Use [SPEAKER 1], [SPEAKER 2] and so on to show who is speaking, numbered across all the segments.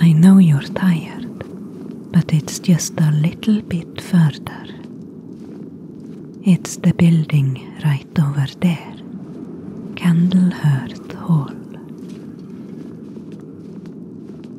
[SPEAKER 1] I know you're tired, but it's just a little bit further. It's the building right over there, Candlehurst Hall.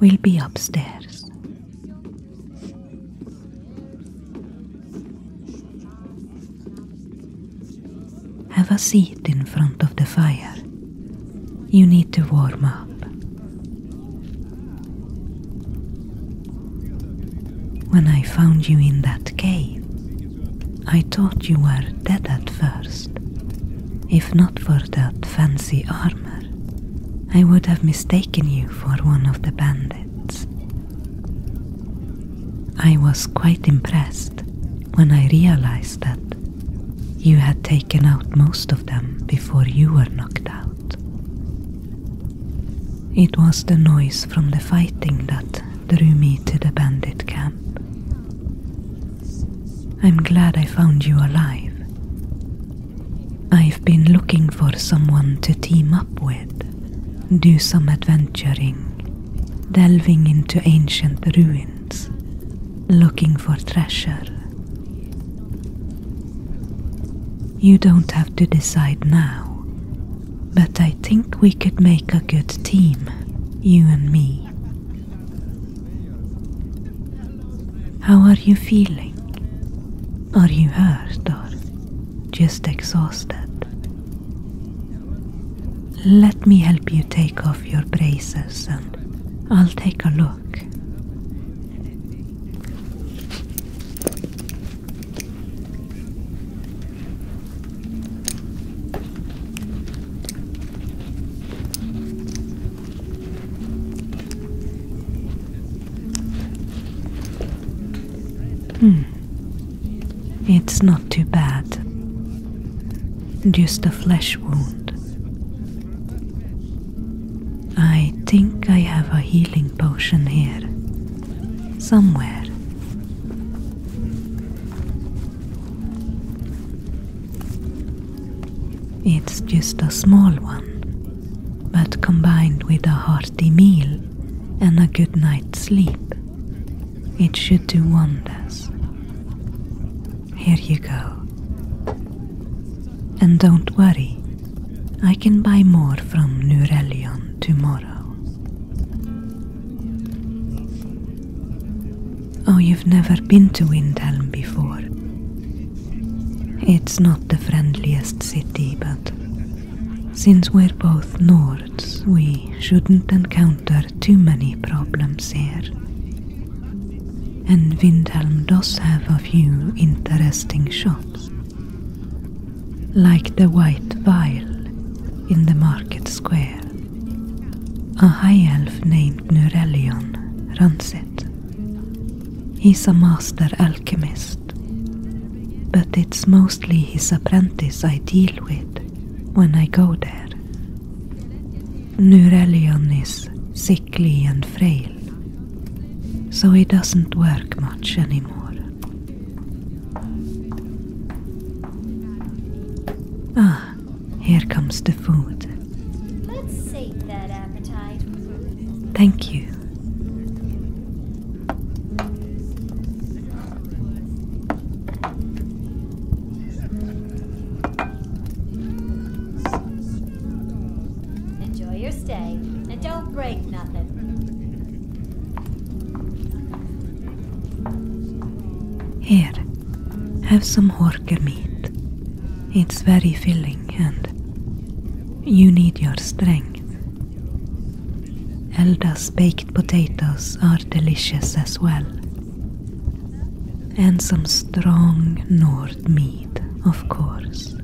[SPEAKER 1] We'll be upstairs. Have a seat in front of the fire. You need to warm up. When I found you in that cave, I thought you were dead at first, if not for that fancy armor. I would have mistaken you for one of the bandits. I was quite impressed when I realized that you had taken out most of them before you were knocked out. It was the noise from the fighting that drew me to the bandit camp. I'm glad I found you alive, I've been looking for someone to team up with, do some adventuring, delving into ancient ruins, looking for treasure. You don't have to decide now, but I think we could make a good team, you and me. How are you feeling? Are you hurt or just exhausted? Let me help you take off your braces and I'll take a look. Hmm. It's not too bad. Just a flesh wound. I think I have a healing potion here. Somewhere. It's just a small one but combined with a hearty meal and a good night's sleep, it should do wonders. Here you go. And don't worry, I can buy more from Nurelion tomorrow. Oh, you've never been to Windhelm before. It's not the friendliest city, but since we're both Nords, we shouldn't encounter too many problems here. And Windhelm does have a few interesting shops. Like the White Vial in the market square. A high elf named Nurellion runs it. He's a master alchemist, but it's mostly his apprentice I deal with when I go there. Nurelion is sickly and frail, so he doesn't work much anymore. Ah, here comes the food. Thank you. Enjoy your stay and don't break nothing. Here, have some horchata sparke meat. It's very filling and you need your strength. Elda's baked potatoes are delicious as well. And some strong Nord meat, of course.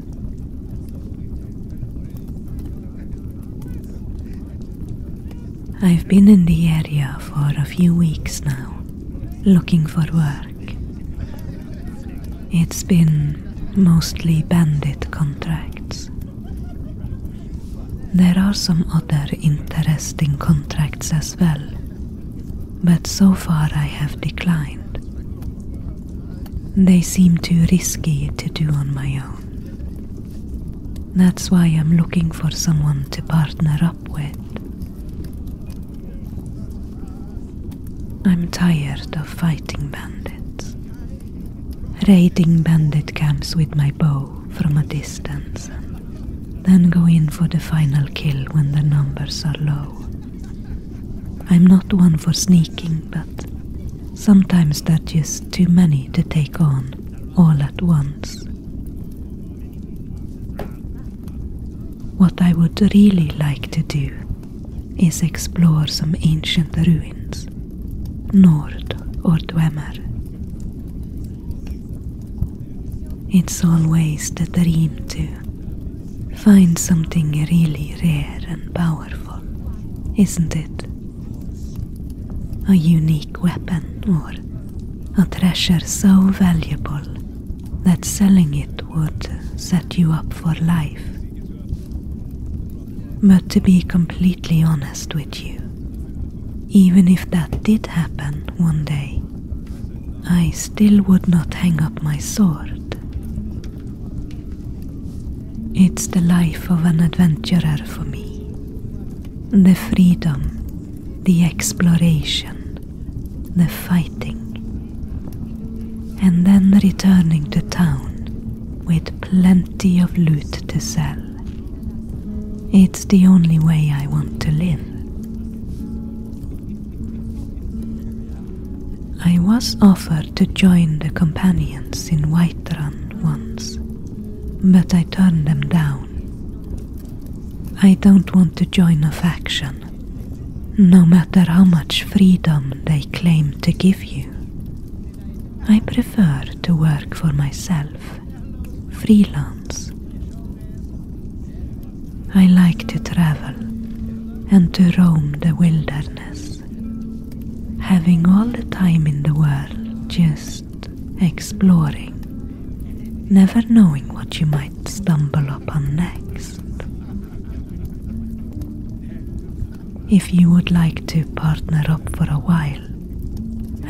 [SPEAKER 1] I've been in the area for a few weeks now, looking for work. It's been mostly bandit contracts. There are some other interesting contracts as well, but so far I have declined. They seem too risky to do on my own. That's why I'm looking for someone to partner up with. I'm tired of fighting bandits. Raiding bandit camps with my bow from a distance, then go in for the final kill when the numbers are low. I'm not one for sneaking, but sometimes there just too many to take on all at once. What I would really like to do is explore some ancient ruins, Nord or Dwemer. It's always the dream to find something really rare and powerful, isn't it? A unique weapon or a treasure so valuable that selling it would set you up for life. But to be completely honest with you, even if that did happen one day, I still would not hang up my sword. It's the life of an adventurer for me. The freedom, the exploration, the fighting, and then returning to town with plenty of loot to sell. It's the only way I want to live. I was offered to join the companions in White Run once, but I turned them down. I don't want to join a faction no matter how much freedom they claim to give you. I prefer to work for myself, freelance. I like to travel and to roam the wilderness, having all the time in the world just exploring, never knowing what you might stumble upon next. If you would like to partner up for a while,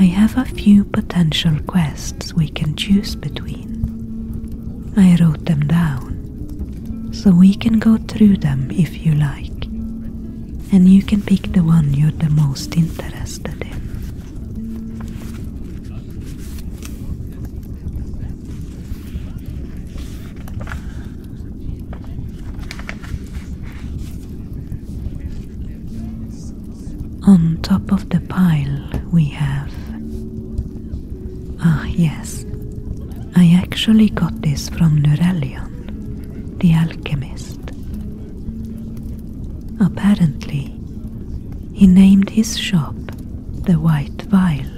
[SPEAKER 1] I have a few potential quests we can choose between. I wrote them down, so we can go through them if you like, and you can pick the one you're the most interested in. On top of the pile, we have. Ah, yes. I actually got this from Nurelion, the alchemist. Apparently, he named his shop the white vial,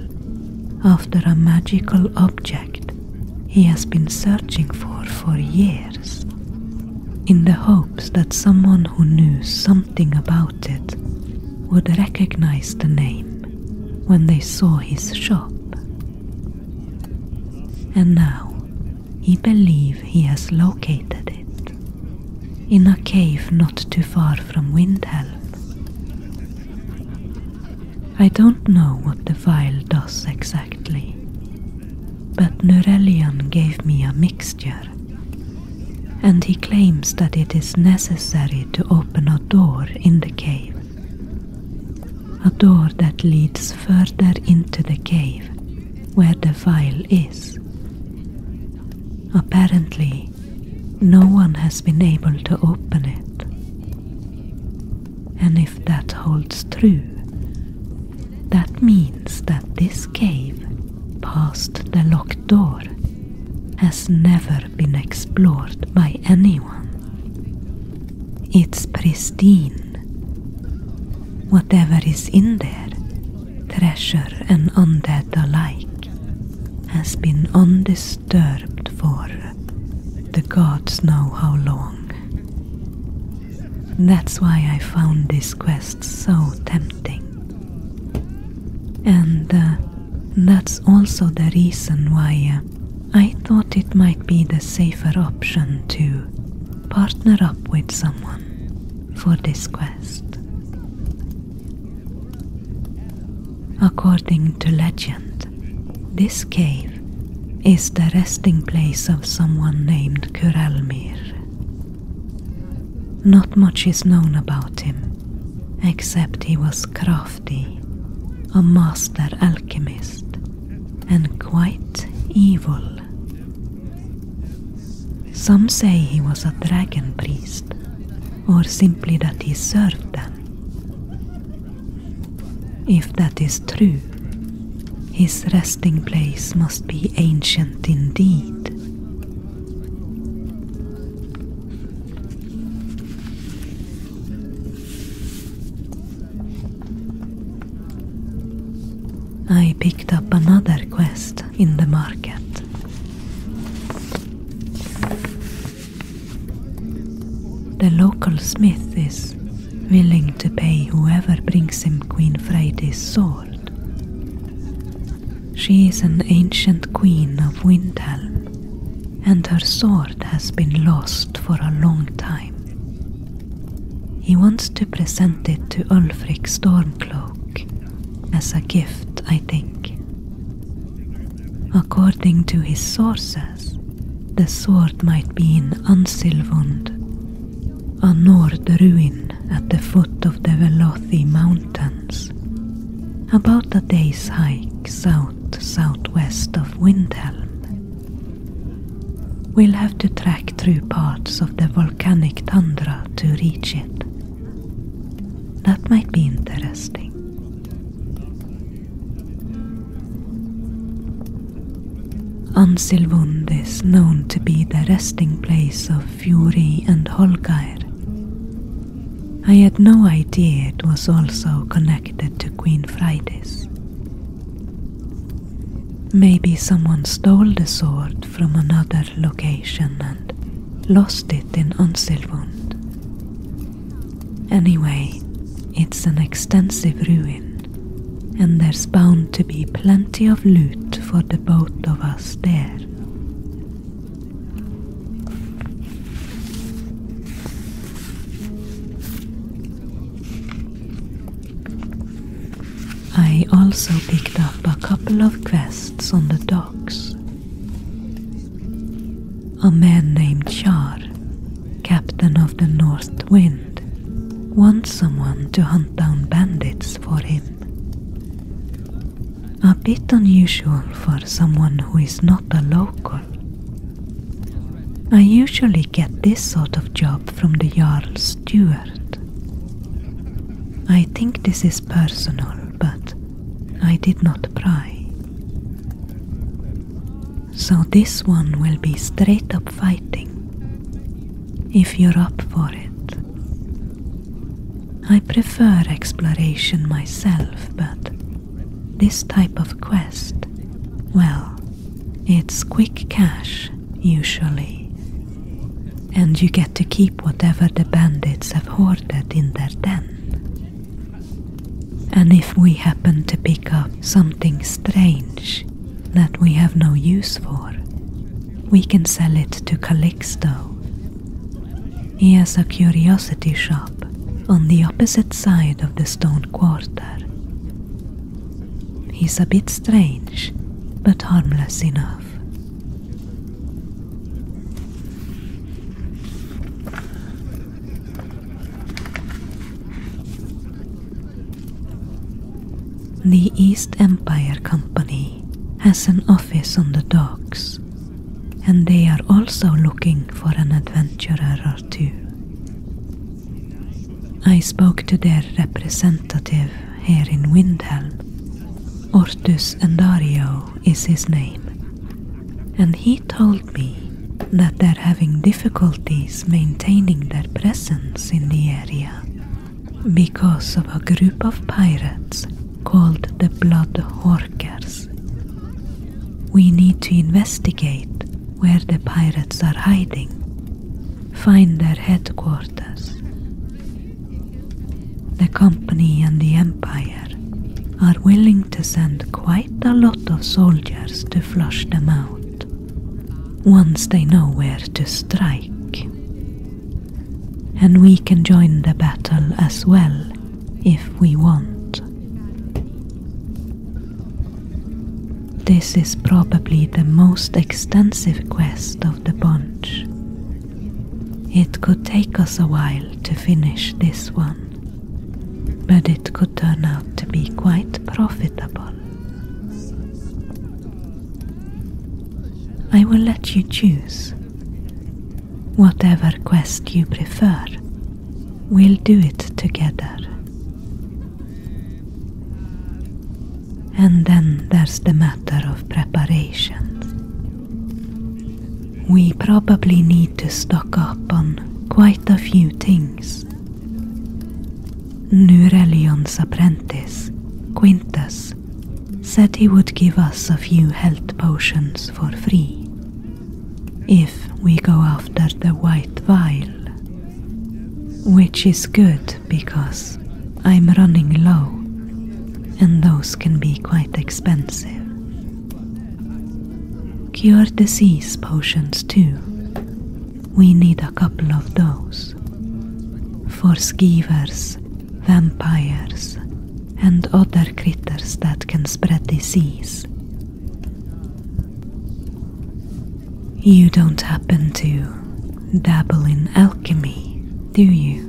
[SPEAKER 1] after a magical object he has been searching for for years, in the hopes that someone who knew something about it would recognize the name when they saw his shop. And now he believes he has located it in a cave not too far from Windhelm. I don't know what the vial does exactly, but Nurellian gave me a mixture, and he claims that it is necessary to open a door in the cave. A door that leads further into the cave where the vial is. Apparently, no one has been able to open it. And if that holds true, that means that this cave, past the locked door, has never been explored by anyone. It's pristine. Whatever is in there, treasure and undead alike, has been undisturbed for the gods know how long. That's why I found this quest so tempting. And uh, that's also the reason why uh, I thought it might be the safer option to partner up with someone for this quest. According to legend, this cave is the resting place of someone named Kuralmir. Not much is known about him, except he was crafty, a master alchemist, and quite evil. Some say he was a dragon priest or simply that he served them. If that is true, his resting place must be ancient indeed. I picked up another quest in the market. The local smith is willing to pay whoever brings him Queen Freydi's sword. She is an ancient queen of Windhelm, and her sword has been lost for a long time. He wants to present it to Ulfric Stormcloak as a gift, I think. According to his sources, the sword might be in Ansilvund, a Nord ruin at the foot of the Velothi Mountains, about a day's hike south southwest of Windhelm. We'll have to trek through parts of the volcanic tundra to reach it. That might be interesting. Ansilvund is known to be the resting place of Fury and Holgair. I had no idea it was also connected to Queen Fridays. Maybe someone stole the sword from another location and lost it in Unselvund. Anyway, it's an extensive ruin, and there's bound to be plenty of loot for the both of us there. I also picked up a couple of quests on the docks. A man named Char, captain of the North Wind, wants someone to hunt down bandits for him. A bit unusual for someone who is not a local. I usually get this sort of job from the jarl's Steward. I think this is personal, but I did not pry. So this one will be straight up fighting. If you're up for it. I prefer exploration myself, but this type of quest, well, it's quick cash usually. And you get to keep whatever the bandits have hoarded. That in their den. And if we happen to pick up something strange that we have no use for, we can sell it to Calixto. He has a curiosity shop on the opposite side of the stone quarter. He's a bit strange, but harmless enough. The East Empire Company has an office on the docks, and they are also looking for an adventurer or two. I spoke to their representative here in Windhelm, Ortus Andario is his name, and he told me that they're having difficulties maintaining their presence in the area because of a group of pirates called the Blood Horkers. We need to investigate where the pirates are hiding, find their headquarters, the company and the empire are willing to send quite a lot of soldiers to flush them out once they know where to strike. And we can join the battle as well if we want. This is probably the most extensive quest of the bunch it could take us a while to finish this one, but it could turn out to be quite profitable. I will let you choose. Whatever quest you prefer, we'll do it together. And then there's the matter of preparations. We probably need to stock up on quite a few things. Nurelion's apprentice, Quintus, said he would give us a few health potions for free if we go after the white vial. Which is good because I'm running low and those can be quite expensive. Cure disease potions, too. We need a couple of those. For skeevers, vampires, and other critters that can spread disease. You don't happen to dabble in alchemy, do you?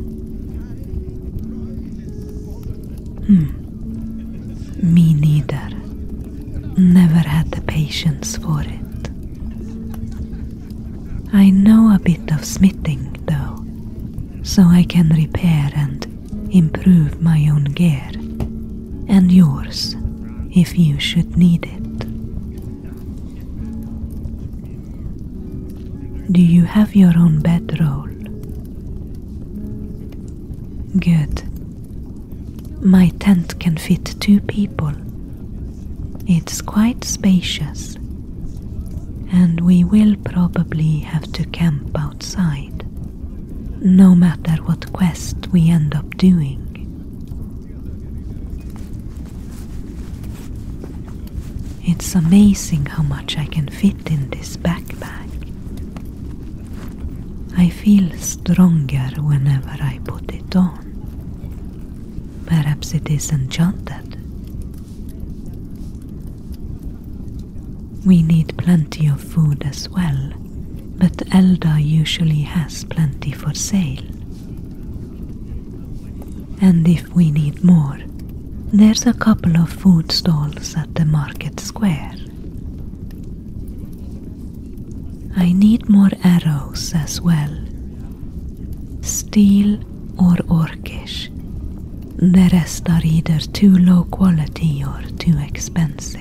[SPEAKER 1] Hmm. Me neither. Never had the patience for it. I know a bit of smithing, though, so I can repair and improve my own gear and yours if you should need it. Do you have your own bedroll? Good. My tent can fit two people. It's quite spacious, and we will probably have to camp outside, no matter what quest we end up doing. It's amazing how much I can fit in this backpack. I feel stronger whenever I put it on. Perhaps it is enchanted. We need plenty of food as well, but Elda usually has plenty for sale. And if we need more, there's a couple of food stalls at the market square. I need more arrows as well. Steel or orcish. The rest are either too low quality or too expensive.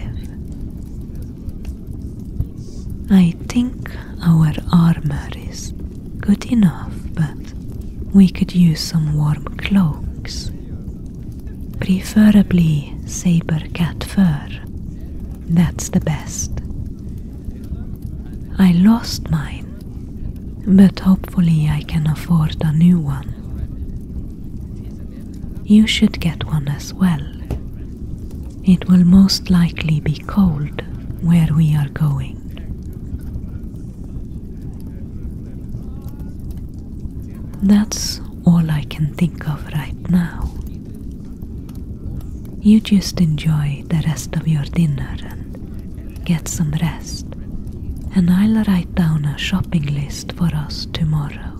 [SPEAKER 1] I think our armor is good enough, but we could use some warm cloaks. Preferably saber cat fur. That's the best. I lost mine, but hopefully I can afford a new one. You should get one as well. It will most likely be cold where we are going. That's all I can think of right now. You just enjoy the rest of your dinner and get some rest. And I'll write down a shopping list for us tomorrow.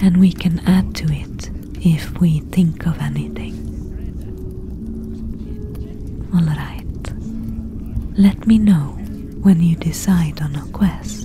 [SPEAKER 1] And we can add to it if we think of anything. Alright. Let me know when you decide on a quest.